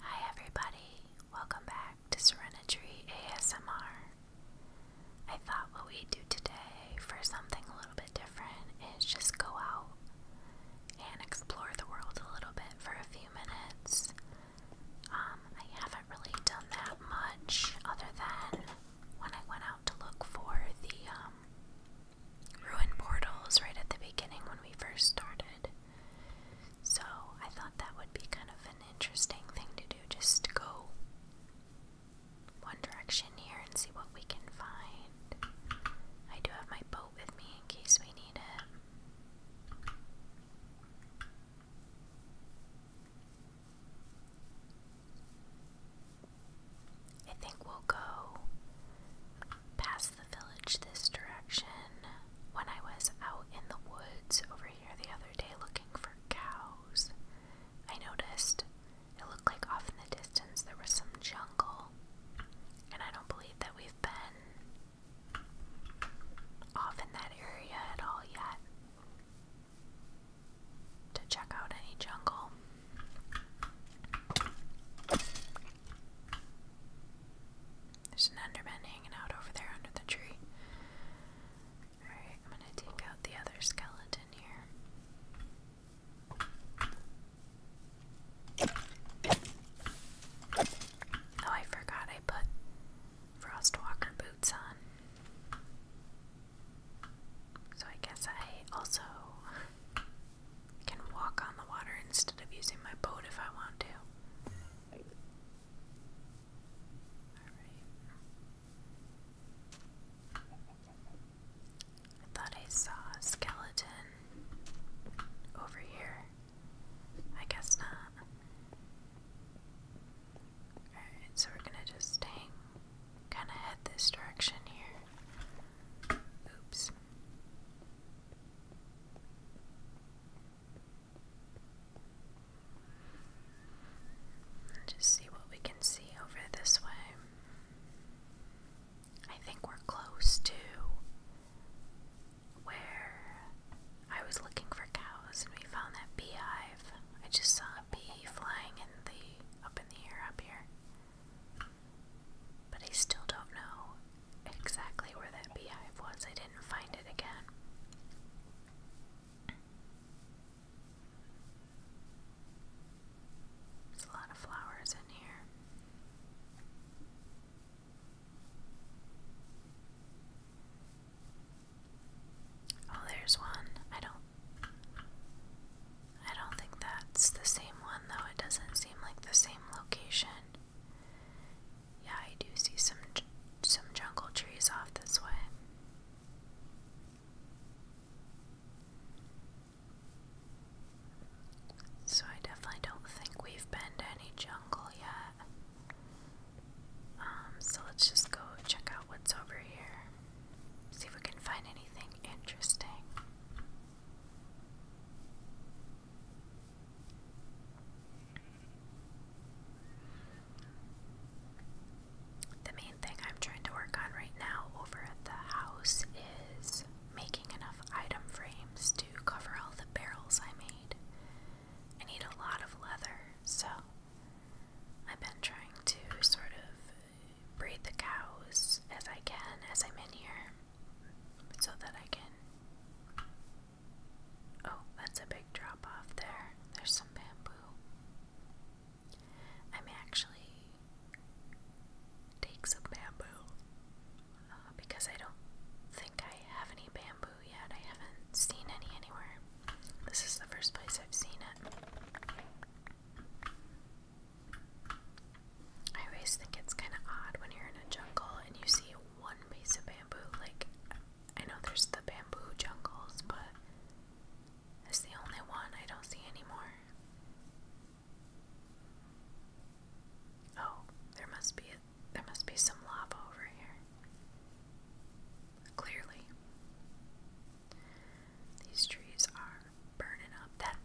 Hi, everybody. Welcome back to Serenity ASMR. I thought what we'd do today for something a little bit different is just go out and explore the world a little bit for a few minutes. Um, I haven't really done that much other than when I went out to look for the um, ruin portals right at the beginning when we first started. So I thought that would be kind of an interesting thing to do, just to go one direction here and see what we can find. I do have my boat with me in case we need it. I think we'll go past the village this direction when I was out in the woods over here the other day looking for cows. I noticed it looked like off in the distance there was some jungle, and I don't believe that we've been off in that area at all yet to check out any jungle. There's an Underman hanging out over there under the tree. Alright, I'm gonna take out the other skeleton here. Oh, I forgot I put Frostwalker boots on. So I guess I also I can walk on the water instead of using my boat if I want to. Alright. I thought I saw a skeleton over here. I guess not. Alright, so we're gonna just hang, kinda head this direction here. Oops. Just see what we can see over this way. I think we're close to where I was looking for cows and we found that beehive. I just saw a bee flying in the up in the air up here. But I still don't know exactly where that beehive was. I didn't find it again. There's a lot of flowers in here. Oh, there's one. I don't I don't think that's the same one though. It doesn't seem like the same location. Yeah, I do see some some jungle trees off this way. So I definitely don't think we've been to any jungle yet. Um, so let's just go check out what's over here. See if we can find anything interesting. The main thing I'm trying to work on right now over at the house is making enough item frames to cover all the barrels I made. I need a lot of leather, so I've been trying to sort of breed the cows as I can as I'm in here so that I can. Oh, that's a big drop off there. There's some bamboo. I am actually take some bamboo uh, because I don't think I have any bamboo yet. I haven't seen any anywhere. This is the first place I've seen it. I always think it's kind of odd when you're in a jungle and you see one piece of bamboo. Like, I know there's the bamboo jungles, but it's the only one I don't see anymore. Oh, there must be there must be some lava over here. Clearly, these trees are burning up. That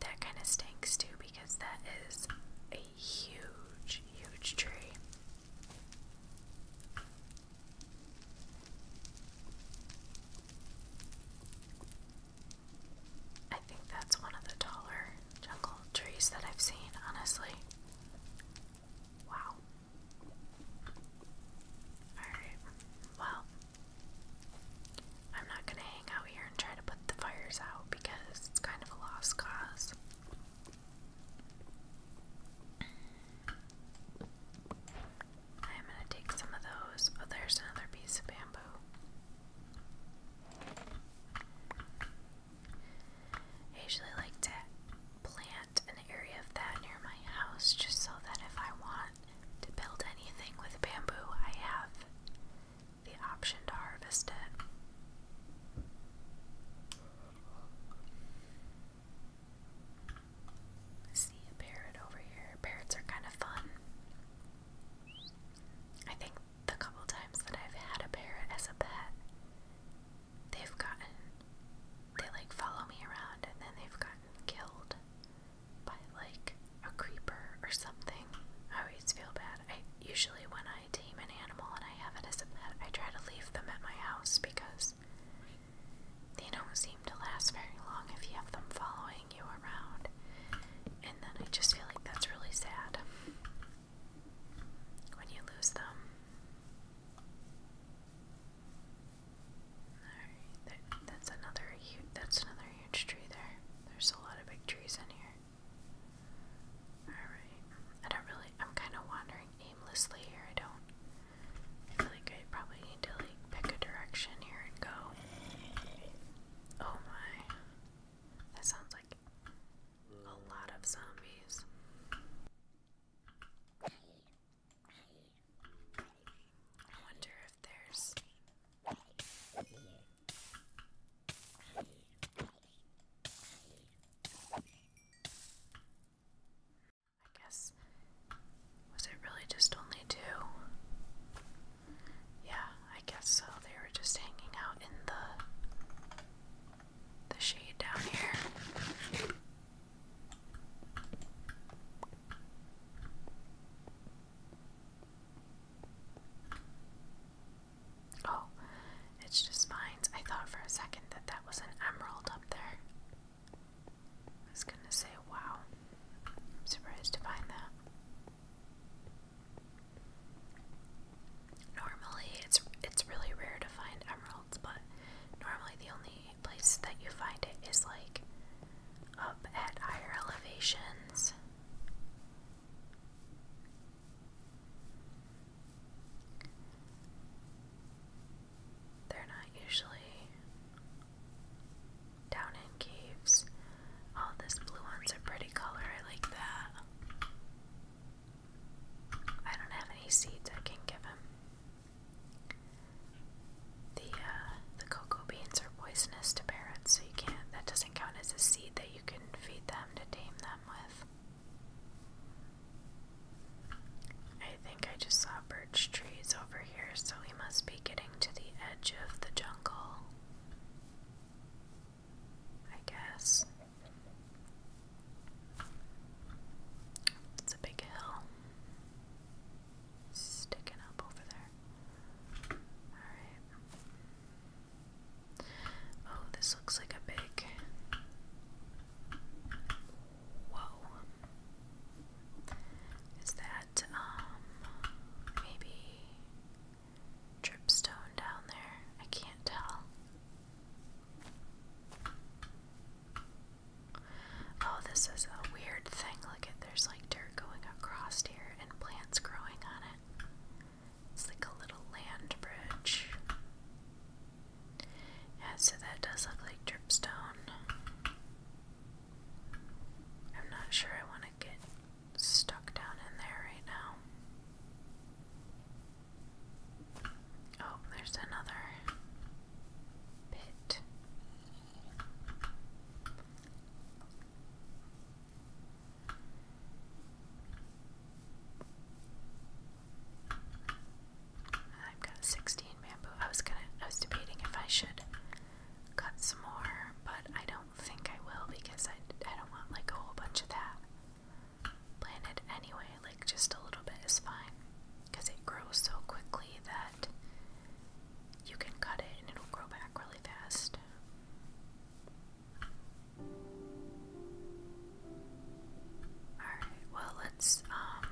that kind of stinks too because that is a huge, huge tree. I think that's one of the taller jungle trees that I've seen, honestly. Wow. Alright, well, I'm not gonna hang out here and try to put the fires out because it's kind of a lost cause. I am going to take some of those. Oh, there's another piece of bamboo. I usually like to plant an area of that near my house just so that if I want to build anything with bamboo, I have the option to harvest it. see a parrot over here. Parrots are kind of fun. I think the couple times that I've had a parrot as a pet, they've gotten. They like follow me around and then they've gotten killed by like a creeper or something. I always feel bad. I usually, when I tame an animal and I have it as a pet, I try to leave them at my house because they don't seem to last very long if you have them following you around. And then I just feel like that's really sad when you lose them. Alright, that's another huge that's another huge tree there. There's a lot of big trees in here. Alright. I don't really I'm kinda wandering aimlessly here. I don't I feel like I probably need to like pick a direction here and go. Oh my. That sounds like a lot of zombies. I wonder if there's I guess. Was it really just only two? Yeah, I guess so. They were just hanging out in the the shade down here. Oh, it's just mines. I thought for a second that that was an emerald up there. I was gonna say, wow. I'm surprised to find that. Normally, it's it's really rare to find emeralds, but normally the only place that you find it is like up at higher elevations. They're not usually down in caves. All oh, this blue one's a pretty color, I like that. I don't have any seeds I can give him. The uh, the cocoa beans are poisonous to parrots, so you can't. That doesn't count as a seed that you can feed them to tame them with. I think I just saw birch trees over here, so we must be getting to the edge of the jungle. I guess. It's a big hill. Sticking up over there. Alright. Oh, this looks like a big. Whoa. Is that, um, maybe dripstone down there? I can't tell. Oh, this is a weird thing. Look there's like dirt going across here and plants growing on it. It's like a little land bridge. Yeah, so that does look like dripstone. I'm not sure I want to get stuck down in there right now. Oh, there's another pit. I've got 16 bamboo. I was gonna, I was debating if I should cut some more, but I don't think I will because I, I don't want like a whole bunch of that planted anyway. Like just a little bit is fine because it grows so quickly that you can cut it and it'll grow back really fast. Alright, well, let's, um,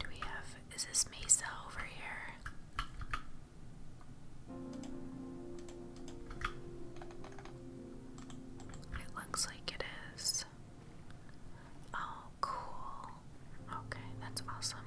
Do we have. Is this Mesa over here? It looks like it is. Oh, cool. Okay, that's awesome.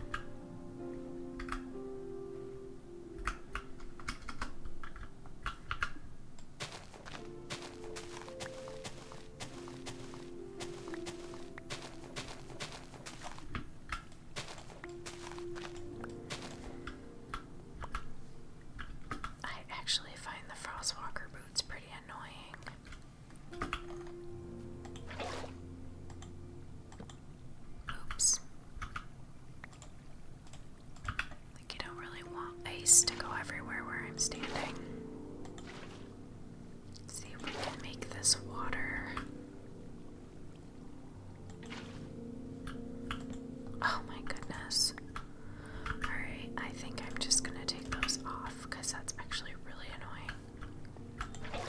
I actually find the Frostwalker boots pretty annoying. Oops. Like, you don't really want ice to go everywhere where I'm standing. see if we can make this water. Oh my goodness. Alright, I think I'm just gonna take those off because that's actually really annoying.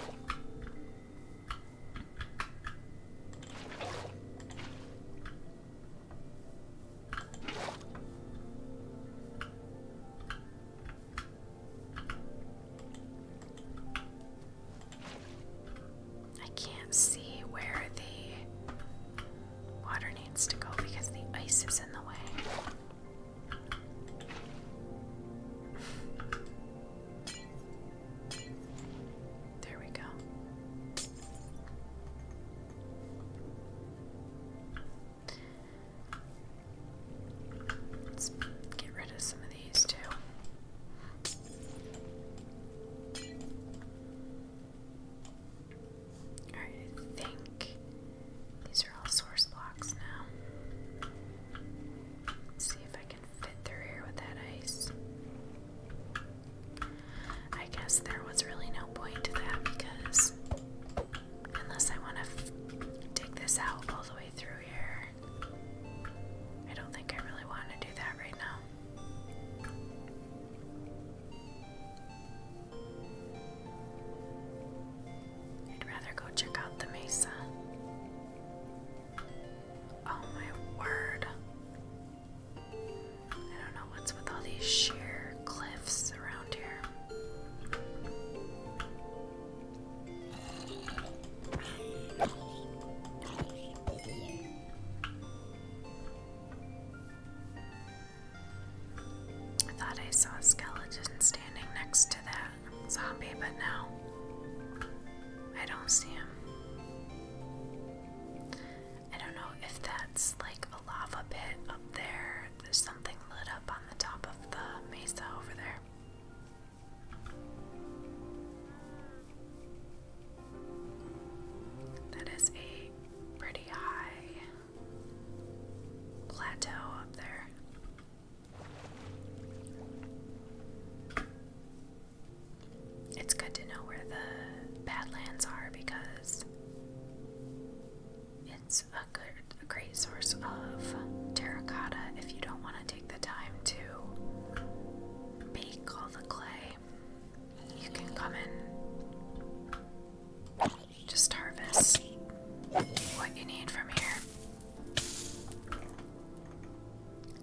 I can't see where the water needs to go because the ice is in the way. There we go. Let's get rid of some of these too. Alright, I think these are all source blocks now. Let's see if I fit through here with that ice. I guess there was really no point to that because unless I want to dig this out all the way through here, I don't think I really want to do that right now. I'd rather go check out the mesa. Oh my word. I don't know what's with all these sheer cliffs around here. I thought I saw a skeleton standing next to that zombie, but now I don't see him. I don't know if that's like a lava pit up there. There's something lit up on the top of the mesa over there. That is a pretty high plateau up there. It's good to know where the Badlands are because it's a good, great source of terracotta if you don't want to take the time to bake all the clay. You can come in, just harvest what you need from here.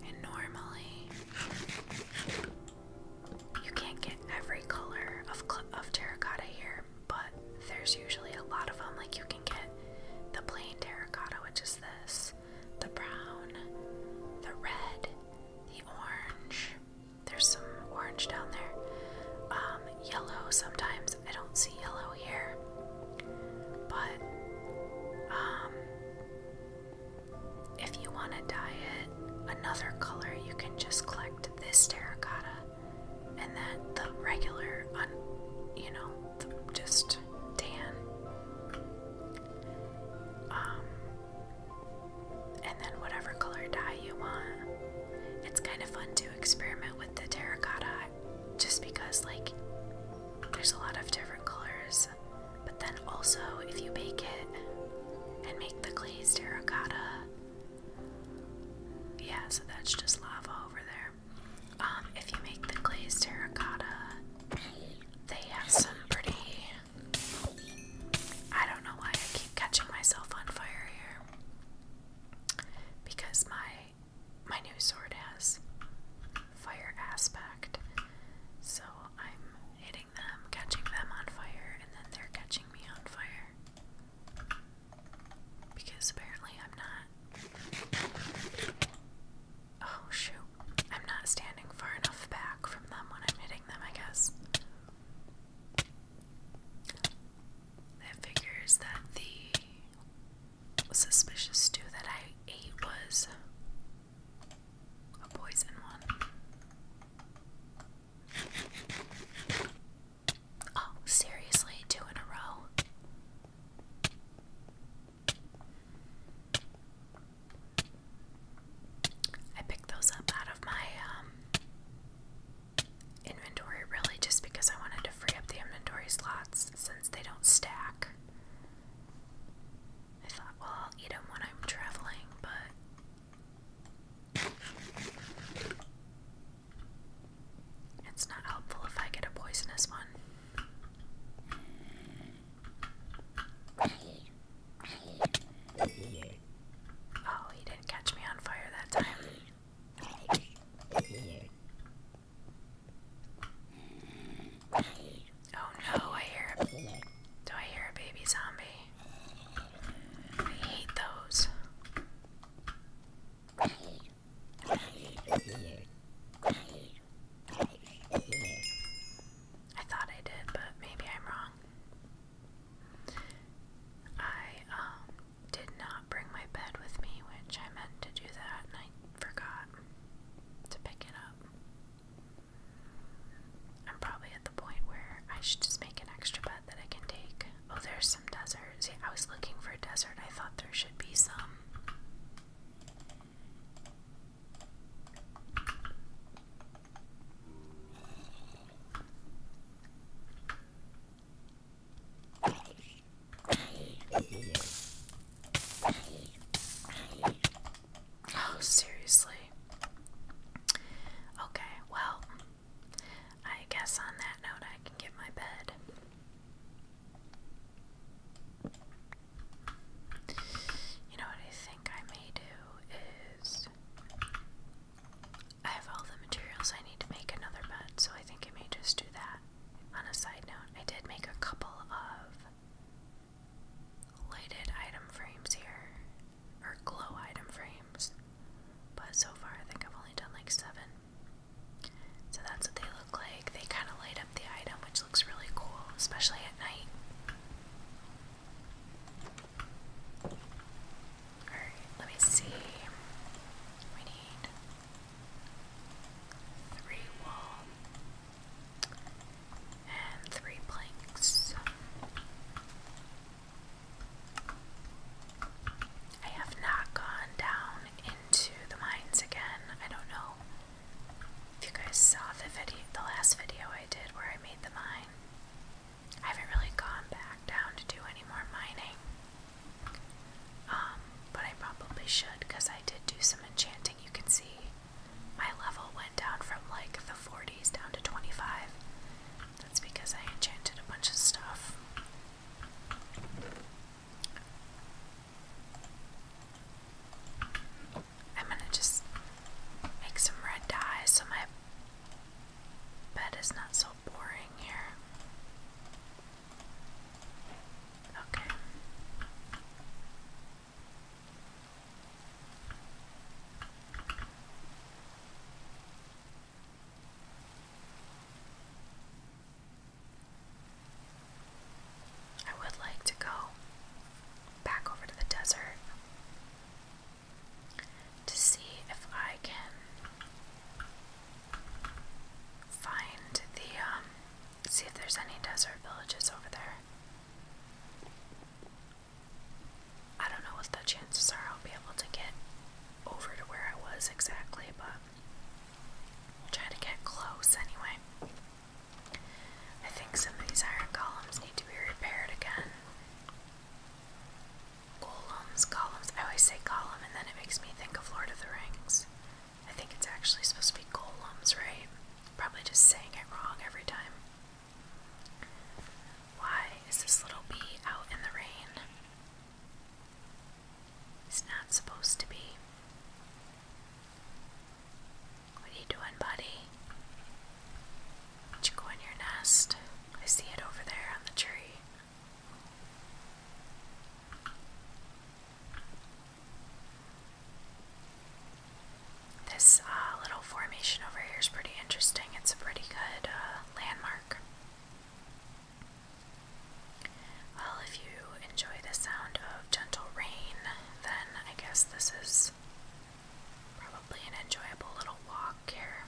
And normally, you can't get every color of, of terracotta here, but there's usually a lot of them. Like you can get the plain terracotta, which is this, the brown, the red, the orange. There's some orange down there. Um, yellow sometimes. I don't see yellow here. But um, if you want to dye it another color, you can just collect this terracotta and then the regular, un, you know, just tan. Um, and then whatever color dye you want. It's kind of fun to experiment with the terracotta just because, like, there's a lot of different colors but then also, if you bake it and make the glazed terracotta, yeah, so that's just lava over there. Um, if you make the glazed terracotta, they have some pretty. I don't know why I keep catching myself on fire here. Because my my new sword has fire aspect. So I'm hitting hitting them, catching them on fire, and then they're catching me on fire. Because apparently I'm not. Oh shoot. I'm not standing far enough back from them when I'm hitting them, I guess. That figures that the suspicious stew that I ate was a poison one. Oh, seriously, two in a row. I picked those up out of my um, inventory really just because I wanted to free up the inventory slots since they don't stack. I thought, well, I'll eat them when I'm traveling, but it's not helpful if I get a poisonous one. Oh, he didn't catch me on fire that time. Oh no, I hear a, do I hear a baby zombie? I hate those. I thought I did, but maybe I'm wrong. I um did not bring my bed with me, which I meant to do that and I forgot to pick it up. I'm probably at the point where I should just make an extra bed that I can take. Oh, there's some deserts. See, I was looking for a desert. I thought there should be some. Oh, seriously. Okay, well, I guess on that note, I can get my bed. You know what I think I may do is. I have all the materials I need to make another bed, so I think I may just do that. On a side note, I did make a couple of lighted item frames here, or glow item frames, but so far I think I've only done like seven. So that's what they look like. They kind of light up the item, which looks really cool, especially at night. Alright, let me see. We need three wool and three planks. I have not gone down into the mines again. I don't know if you guys saw the video, the last video I did where I made the mine. I haven't really gone back down to do any more mining. Um, but I probably should because I did do some enchanting. You can see my level went down from like the 40s down to 25. That's because I enchanted a bunch of stuff. I'm gonna just make some red dye so my bed is not so boring here. Okay. I would like to go back over to the desert to see if I can find the, um, see if there's any desert villages over there. I don't know what the chances are I'll be able to get over to where I was exactly, but we'll try to get close anyway. I think some of these iron columns need to be repaired again. Columns, columns. I always say column and then it makes me think of Lord of the Rings. I think it's actually supposed to be golems, right? Probably just saying it wrong every time. Why is this little bee out in the rain? He's not supposed to be. What are you doing, buddy? Did you go in your nest? I see it over there on the tree. This uh, little formation over here is pretty interesting. It's a pretty good uh, landmark. Well, if you enjoy the sound of gentle rain, then I guess this is probably an enjoyable little walk here.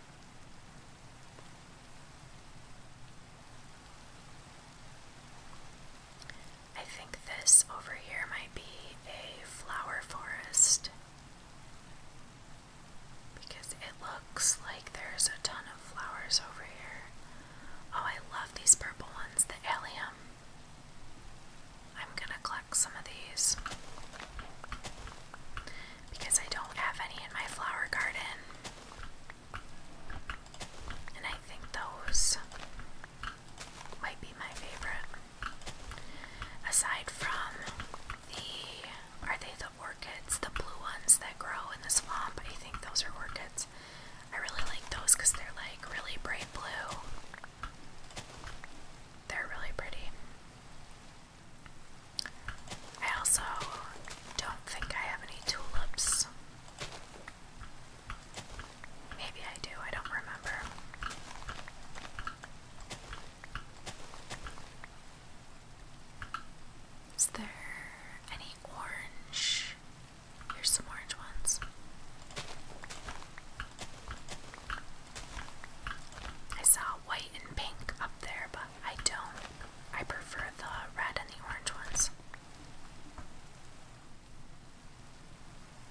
I think this over here might be a flower forest. Because it looks like there's a ton of flowers over here. Oh, I love these purple ones, the allium. I'm gonna collect some of these. Because I don't have any in my flower garden. And I think those might be my favorite. Aside from the are they the orchids, the blue ones that grow in the swamp? I think those are orchids. I really like those because they're like really bright blue. They're really pretty. I also don't think I have any tulips. Maybe I do, I don't remember. Is there any orange? Here's some orange ones. I saw white and pink up there, but I don't. I prefer the red and the orange ones.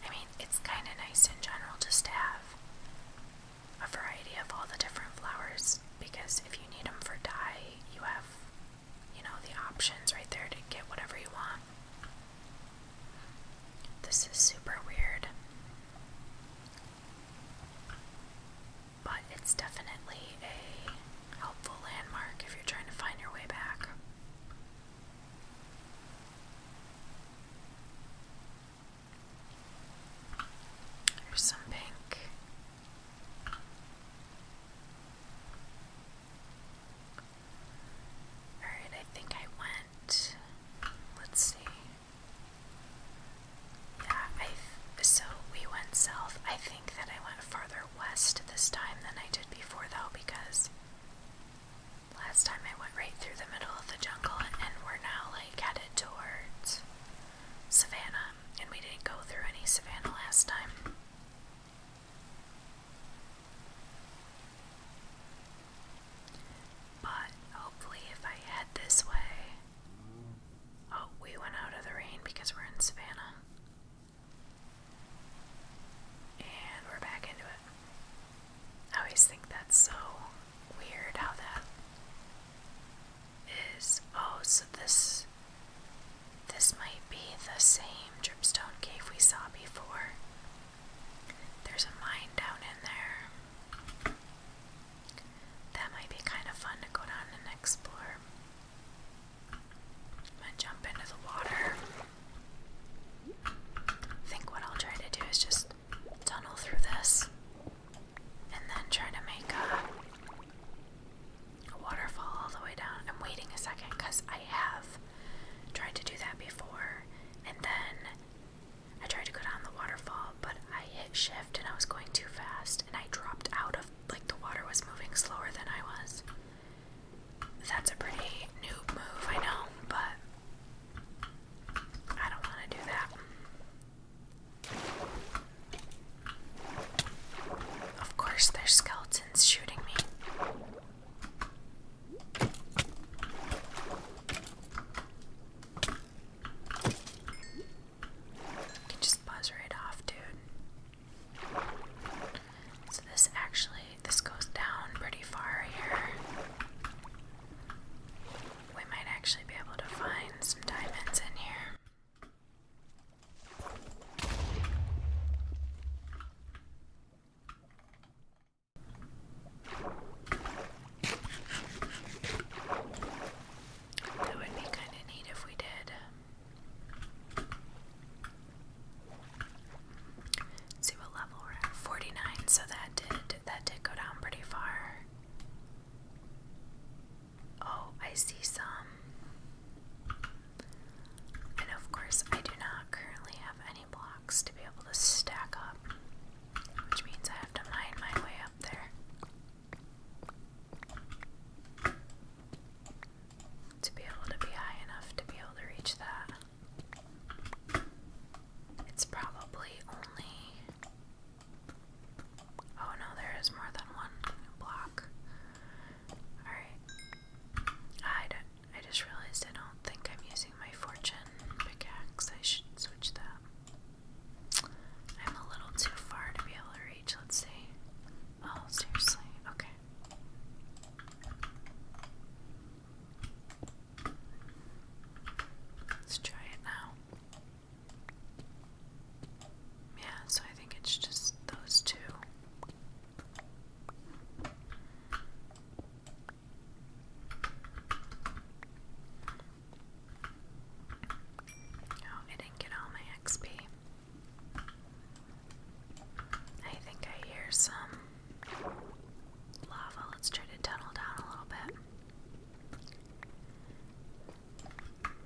I mean, it's kind of nice in general just to have a variety of all the different flowers because if you need them for dye, you have, you know, the options right there to get whatever you want. This is super weird. But it's definitely a helpful landmark if you're trying to find your way back. Here's some pink. Alright, I think I went. Let's see. Yeah, I. So we went south. I think that I went farther west this time than I did before, though, because last time I went right through the middle of the jungle, and we're now like at towards Savannah, and we didn't go through any Savannah last time. But hopefully, if I head this way. Oh, we went out of the rain because we're in Savannah. And we're back into it. I always think that's so weird how that is. Oh, so this this might be the same dripstone cave we saw before. There's a mine down in there. That might be kind of fun to go down and explore. I'm gonna jump into the water. I think what I'll try to do is just tunnel through this and then try to make a, waterfall all the way down. I'm waiting a second because I have tried to do that before, and then I tried to go down the waterfall, but I hit shift and I was going too fast, and I dropped out of like the water was moving slower than I was. That's a pretty noob move, I know, but I don't want to do that. Of course, there's skeletons shooting me. can just buzz right off, dude. So this actually this goes down pretty far here we might actually be able to find some diamonds in here. would be kind of neat if we did. see what level we're at. 49, so that did that did go down pretty far. Oh, I see some. And of course, I do not currently have any blocks to be able to stack up, which means I have to mine my way up there to be able to be high enough to be able to reach that. It's probably only Oh no, there is more than one block. Alright. I do I just realized I don't think I'm using my fortune pickaxe. I should switch that. I'm a little too far to be able to reach. Let's see. Oh, seriously. Okay. Let's try it now. Yeah, so I think it's just those two. Oh, I didn't get all my XP. I think I hear some lava. Let's try to tunnel down a little bit.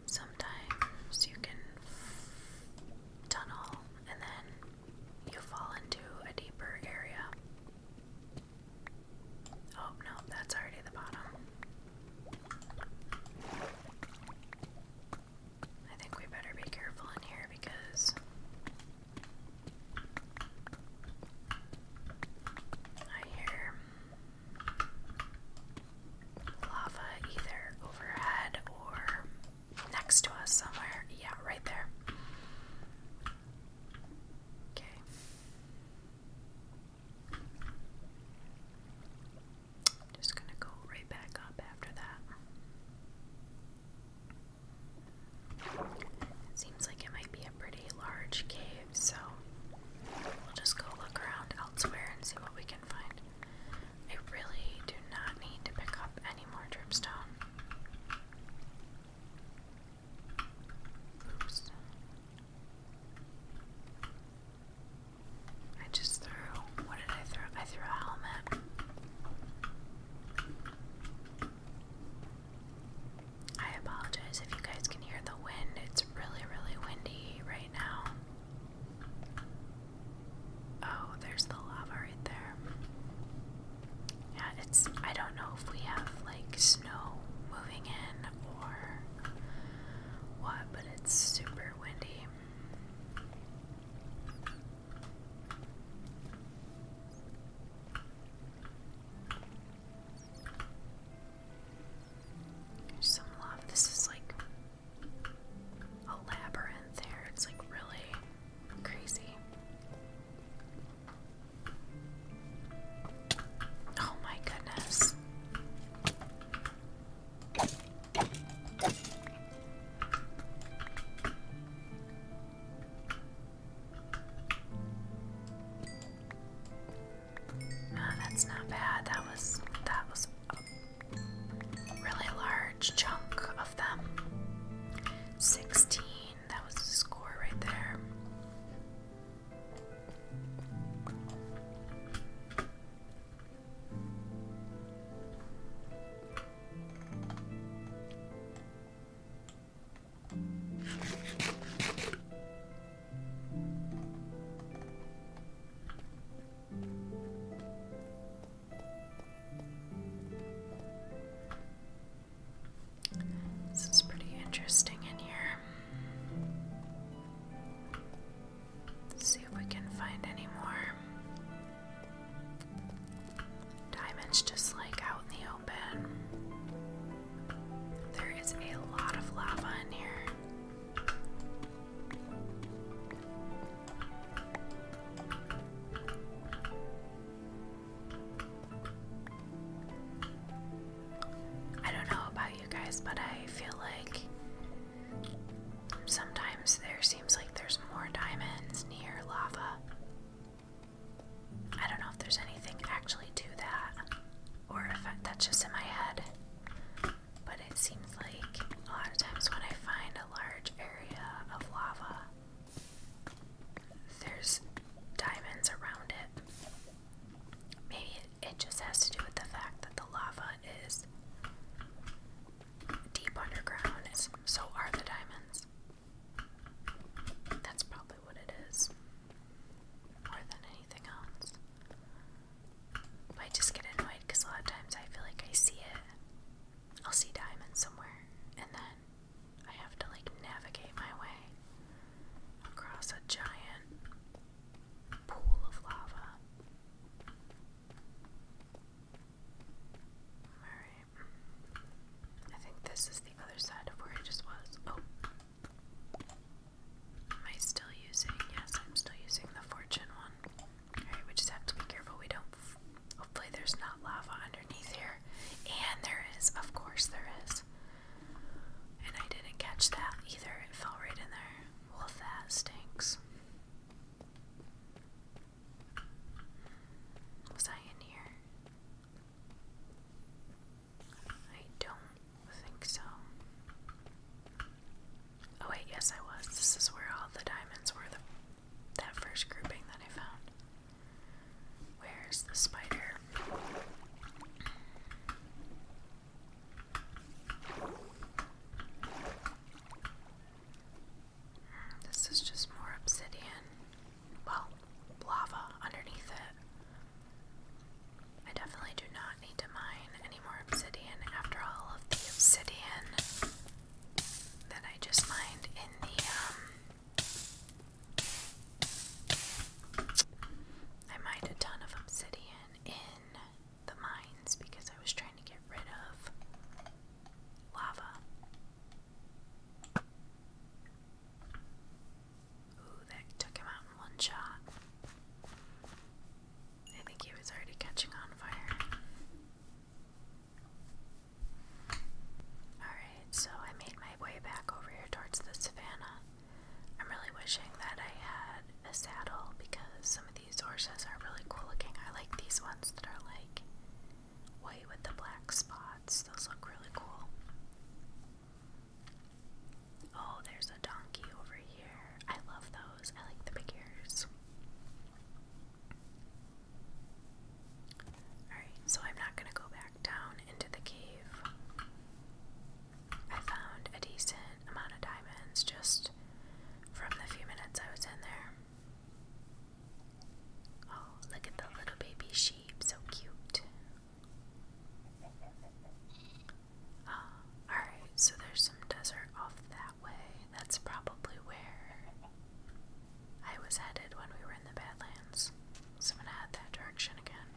Sometimes you can tunnel and then you fall into a deeper area. Oh no, that's already the bottom. I think we better be careful in here because I hear lava either overhead or next to us somewhere. Yeah, right there. Okay. Just gonna go right back up after that. It seems like it might be a pretty large cave so we'll just go look around elsewhere and see what we can find. I really do not need to pick up any more dripstone. Oops. I just threw. What did I throw? I threw a helmet. I apologize if you guys can hear the wind. It's really, really windy right now. Oh, there's the lava right there. Yeah, it's. I don't know if we have like snow moving in or what, but it's super windy. Some love. This is like a labyrinth there. It's like really crazy. Oh my goodness. Oh, that's not bad. That was that was a really large chunk of them. 16. That was the score right there. This is pretty interesting in here. see if we can find any more. Diamonds just like out in the open. There is a lot of lava in here. I don't know about you guys, but I feel like sometimes there seems like there's more diamonds near lava. I don't know if there's anything actually to that or that's just in my head. But it seems like a lot of times when I find a large area of lava, there's diamonds around it. Maybe it, it just has to do with the fact that the lava is deep underground, so are the diamonds. That's probably what it is, more than anything else. I just get annoyed because a lot of times I feel like I see it. I'll see diamonds somewhere, and then I have to like navigate my way across a giant pool of lava. Alright. I think this is the other side of where I just was. Oh, Am I still using? Yes, I'm still using the fortune one. Alright, we just have to be careful we don't. Hopefully, there's not lava underneath here. And there is, of course, there is. And I didn't catch that either, it fell right in there. Well, that stinks. Was I in here? I don't think so. Oh wait, yes I was. This is where all the diamonds were, that first grouping that I found. Where's the spider? This is just more obsidian. Well, lava underneath it. I definitely do not need to mine any more obsidian after all of the obsidian that I just mined in the um I mined a ton of obsidian in the mines because I was trying to get rid of lava. Ooh, that took him out in one shot. I think he was already catching on fire. Alright, so I made my way back over here towards the savannah. I'm really wishing that I had a saddle because some of these horses are really cool looking. I like these ones that are like white with the black spots, those look really cool. Oh, there's a donkey over here. I love those. I like the big ears. Alright, so I'm not going to go back down into the cave. I found a decent amount of diamonds just from the few minutes I was in there. Oh, look at the little baby sheep, so cute. Alright, so there's some desert off that way. That's probably where I was headed when we were in the Badlands. So I'm gonna head that direction again.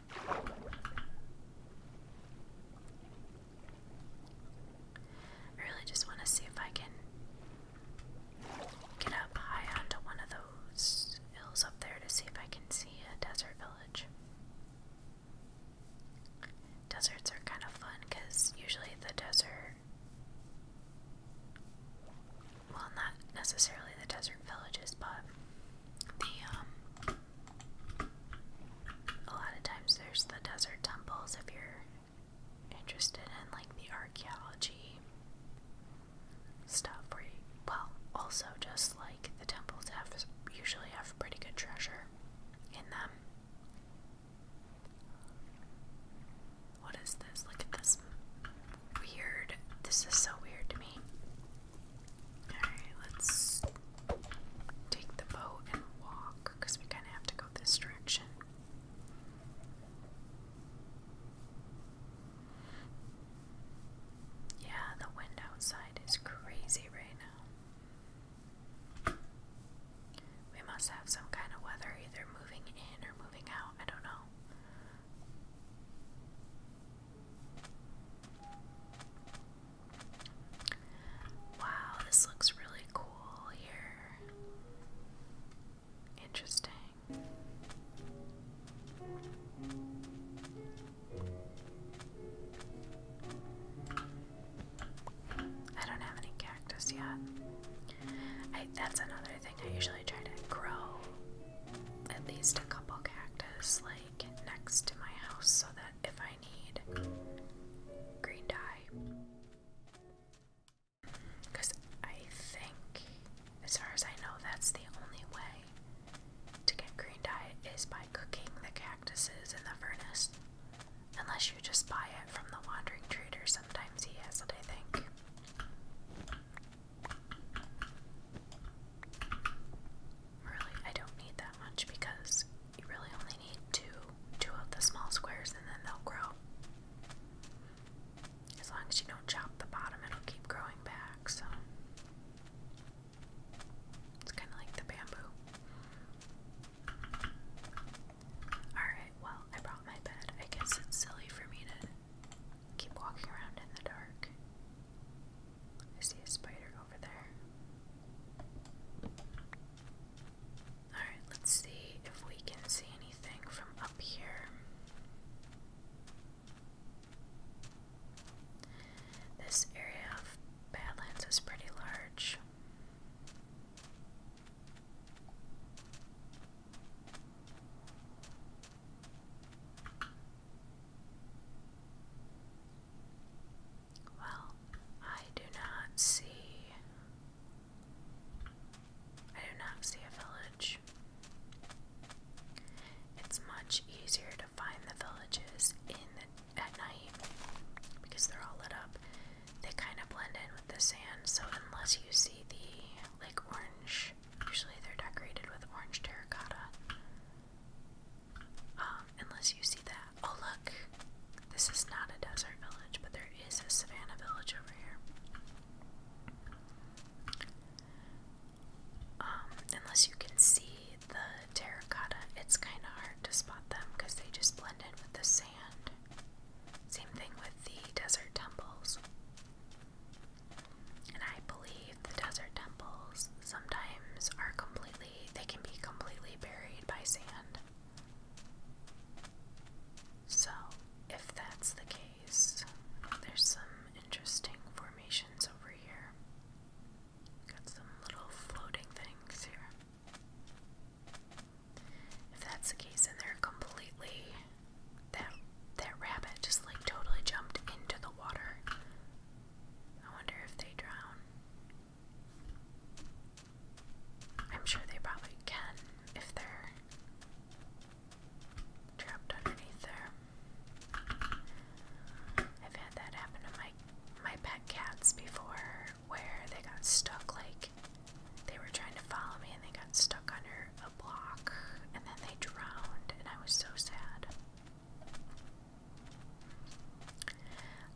I really just want to see if I can get up high onto one of those hills up there to see if I can see a desert village. Deserts are kind of fun because usually the desert. Well, not necessarily the desert villages, but the, um. A lot of times there's the desert temples if you're interested in, like, the archaeology stuff, where you, well, also just like the temples have usually have pretty good treasure in them. What is this? Look at this weird. This is so weird to me. Alright, let's take the boat and walk because we kind of have to go this direction. Yeah, the wind outside is crazy right now. We must have some kind of weather, either moving in or moving out. I don't know. Wow, this looks really cool here. Interesting. I don't have any cactus yet. that's another thing. I usually try to grow at least a couple cactus like next to my house so that if I need green dye. Because I think, as far as I know, that's the only way to get green dye is by cooking the cactus cactuses in the furnace. Unless you just buy it from the wandering trader, sometimes he has it, I think. Really, I don't need that much because you really only need two, two of the small squares and then they'll grow. As long as you don't chop the bottom, it'll keep growing back, so. It's kind of like the bamboo. Alright, well, I brought my bed. I guess it's silly for me to keep walking around in the dark. I see a spider over there. Alright, let's see if we can see anything from up here. This area of Badlands is pretty large. Well, I do not see. I do not see a village. It's much easier to find the villages in the at night because they're all lit up, they kind of blend in with the sand. So, unless you see the like orange, usually they're decorated with orange terracotta. Um, unless you see that. Oh, look, this is not a desert village, but there is a savannah village over here. Um, unless you can see the terracotta, it's kind of hard to spot them because they just blend in with the sand. Same thing with the desert temples. And I believe the desert temples sometimes are completely, they can be completely buried by sand. So, if that's the case, there's some interesting formations over here. Got some little floating things here. If that's the case, then they're completely that that rabbit just like totally jumped into the water. I wonder if they drown. I'm sure they probably can if they're trapped underneath there. I've had that happen to my my pet cats before where they got stuck like they were trying to follow me and they got stuck under a block and then they drowned and I was so sad.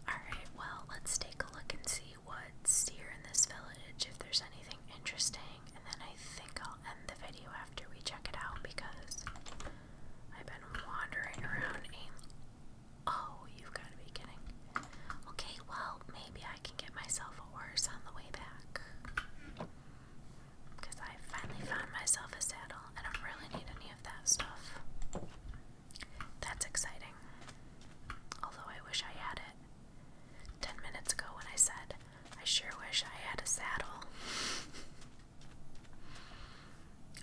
Alright, well, let's take a look and see what's here in this village, if there's anything interesting, and then I think I'll end the video after we check it out because I've been wandering around aim Oh, you've got to be kidding. Okay, well, maybe I can get myself a horse on the way back. Because I finally found myself a saddle. and I don't really need any of that stuff. That's exciting. Although I wish I had it. Ten minutes ago when I said, I sure wish I had a saddle.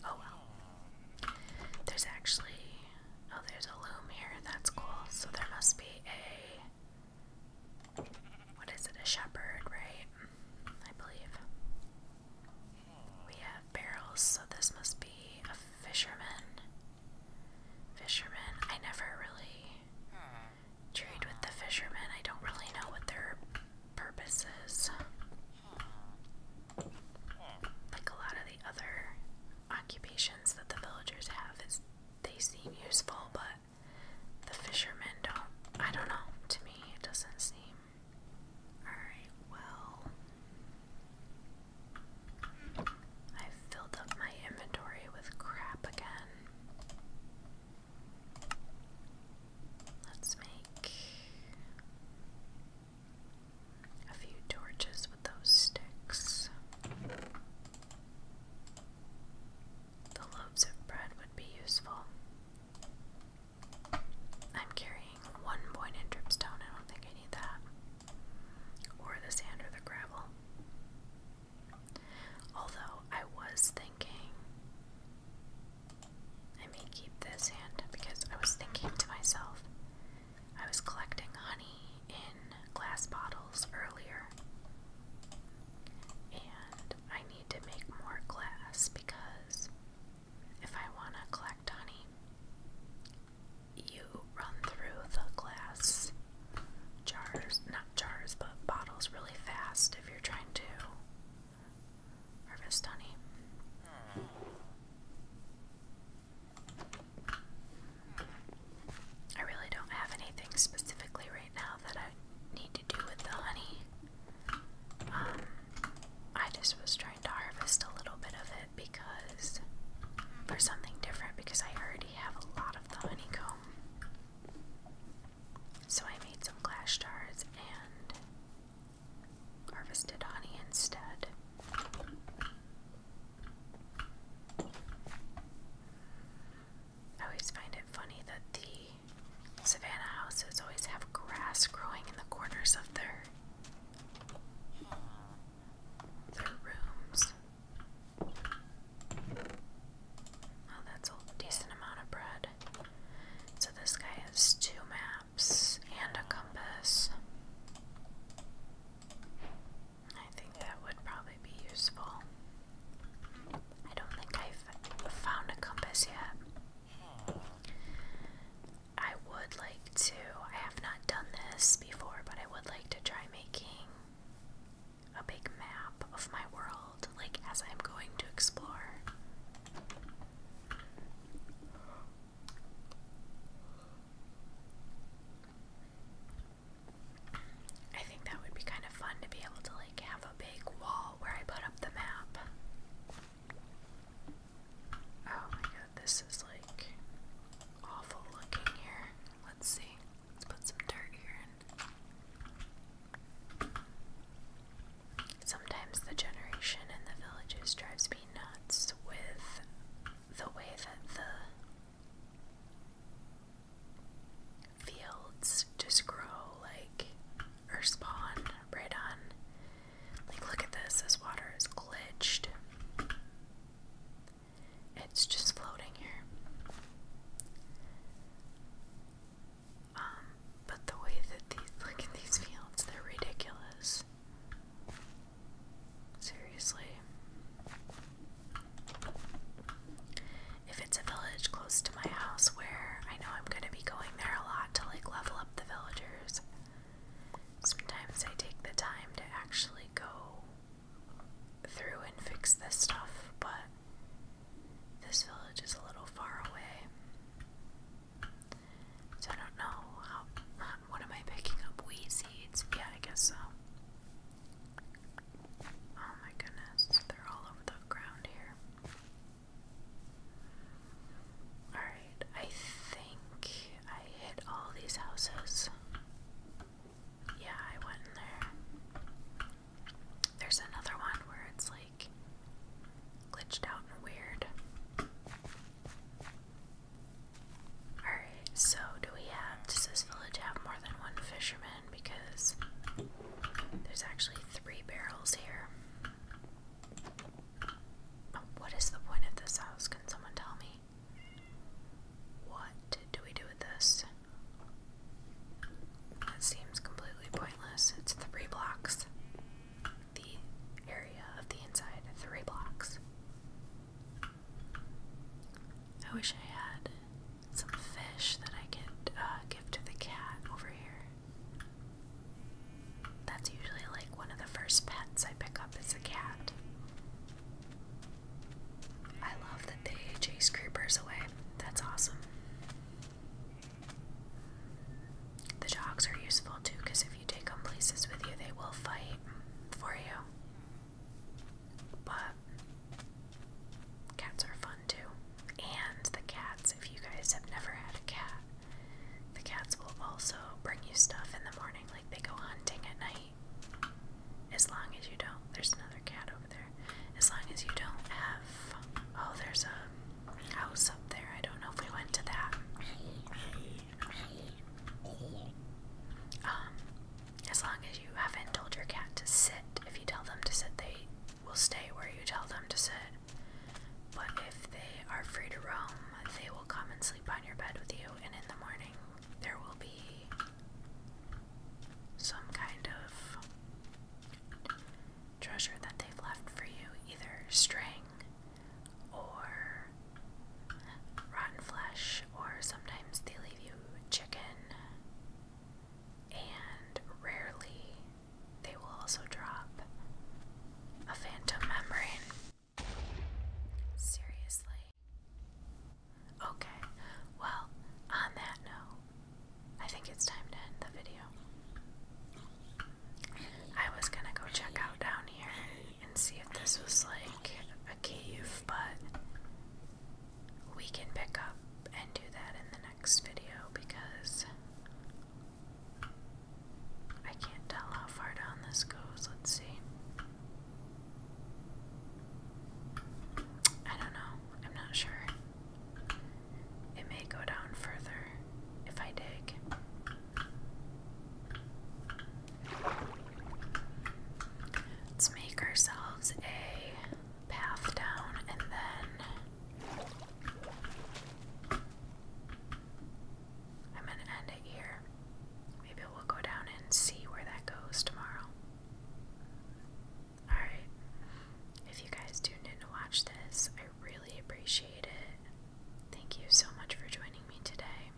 Oh well. There's actually. Oh, there's a loom here. That's cool. So there must be a. What is it? A shepherd, right? I believe. We have barrels, so this must be a fisherman. Fisherman. I never really trade with the fisherman. I don't really know what their purpose is. Like a lot of the other occupations that the villagers have is they seem useful, but the fishermen don't. I don't know. To me, it doesn't seem. Alright, well. i filled up my inventory with crap again. Let's make a few torches with those sticks. The loaves of bread would be useful. I'm carrying one pointed dripstone, I don't think I need that. Or the sand or the gravel. Although I was thinking I may keep this hand because I was thinking to myself, I was collecting honey in glass bottles earlier. And I need to make more glass because if I want to collect honey, you run through the glass jars, not jars, but bottles really fast if you're trying to harvest honey. Hmm. I really don't have anything specifically right now that I need to do with the honey. Um, I just was trying to harvest a little bit of it because for something different because I already have a lot of the honeycomb. So I made some glass jars and harvested honey instead. I always find it funny that the Savannah houses always have grass growing in the corners of their their rooms. Oh, that's a decent amount of bread. So this guy has two maps and a compass. I think that would probably be useful. I don't think I've found a compass yet. I would like to, I have not done this before, but I would like to try making a big map of my world, like as I'm going to explore. I think that would be kind of fun to be able to like have a big wall where I put up the map. Oh my god, this is like awful looking here. Let's see. Let's put some dirt here Sometimes the generation in the villages drives me nuts with the way that the fields just grow like or spawn right on. Like, look at this. This water is glitched. It's just floating here. Um, but the way that these, look at these fields, they're ridiculous. Seriously. If it's a village close to my house where I know I'm going to be going there a lot to like level up the villagers, sometimes I take the time to actually go through and fix this stuff, but this village is a little far away. So I don't know how. What am I picking up? Weed seeds? Yeah, I guess so. Oh my goodness, they're all over the ground here. Alright, I think I hit all these houses. Yeah, I went in there. There's another one where it's like glitched out and weird. Alright, so do we have, does this village have more than one fisherman? Because there's actually three barrels here. what is the point of this house? Can someone tell me? What do we do with this? It seems completely pointless. It's three blocks. The area of the inside, three blocks. I wish I had some fish that I could uh, give to the cat over here. That's usually like one of the first pets I pick up is a cat. I love that they chase creepers away. That's awesome. The dogs are useful too because if you take them places with you, they will fight for you. But cats are fun too. And the cats, if you guys have never had a cat, the cats will also bring you stuff in the morning, like they go hunting at night. As long as you don't, there's another cat over there. As long as you don't have, oh, there's a house up there. I don't know if we went to that. Um, as long as you haven't told your cat to sit, if you tell them to sit, they will stay where you tell them to sit. But if they are free to roam, they will come and sleep on your bed with you, and in the morning there will be some kind of treasure that they've left for you either string or or rotten flesh, or sometimes they leave you chicken, and rarely they will also drop a phantom membrane. Seriously? Okay, well, on that note, I think it's time to end the video. I was gonna go check out down here and see if this was like a cave, but we can pick up and do that in the next video because I can't tell how far down this goes. Let's see. I don't know. I'm not sure. It may go down further if I dig. Let's make ourselves a path down and then I'm going to end it here. Maybe we'll go down and see where that goes tomorrow. Alright. If you guys tuned in to watch this, I really appreciate it. Thank you so much for joining me today.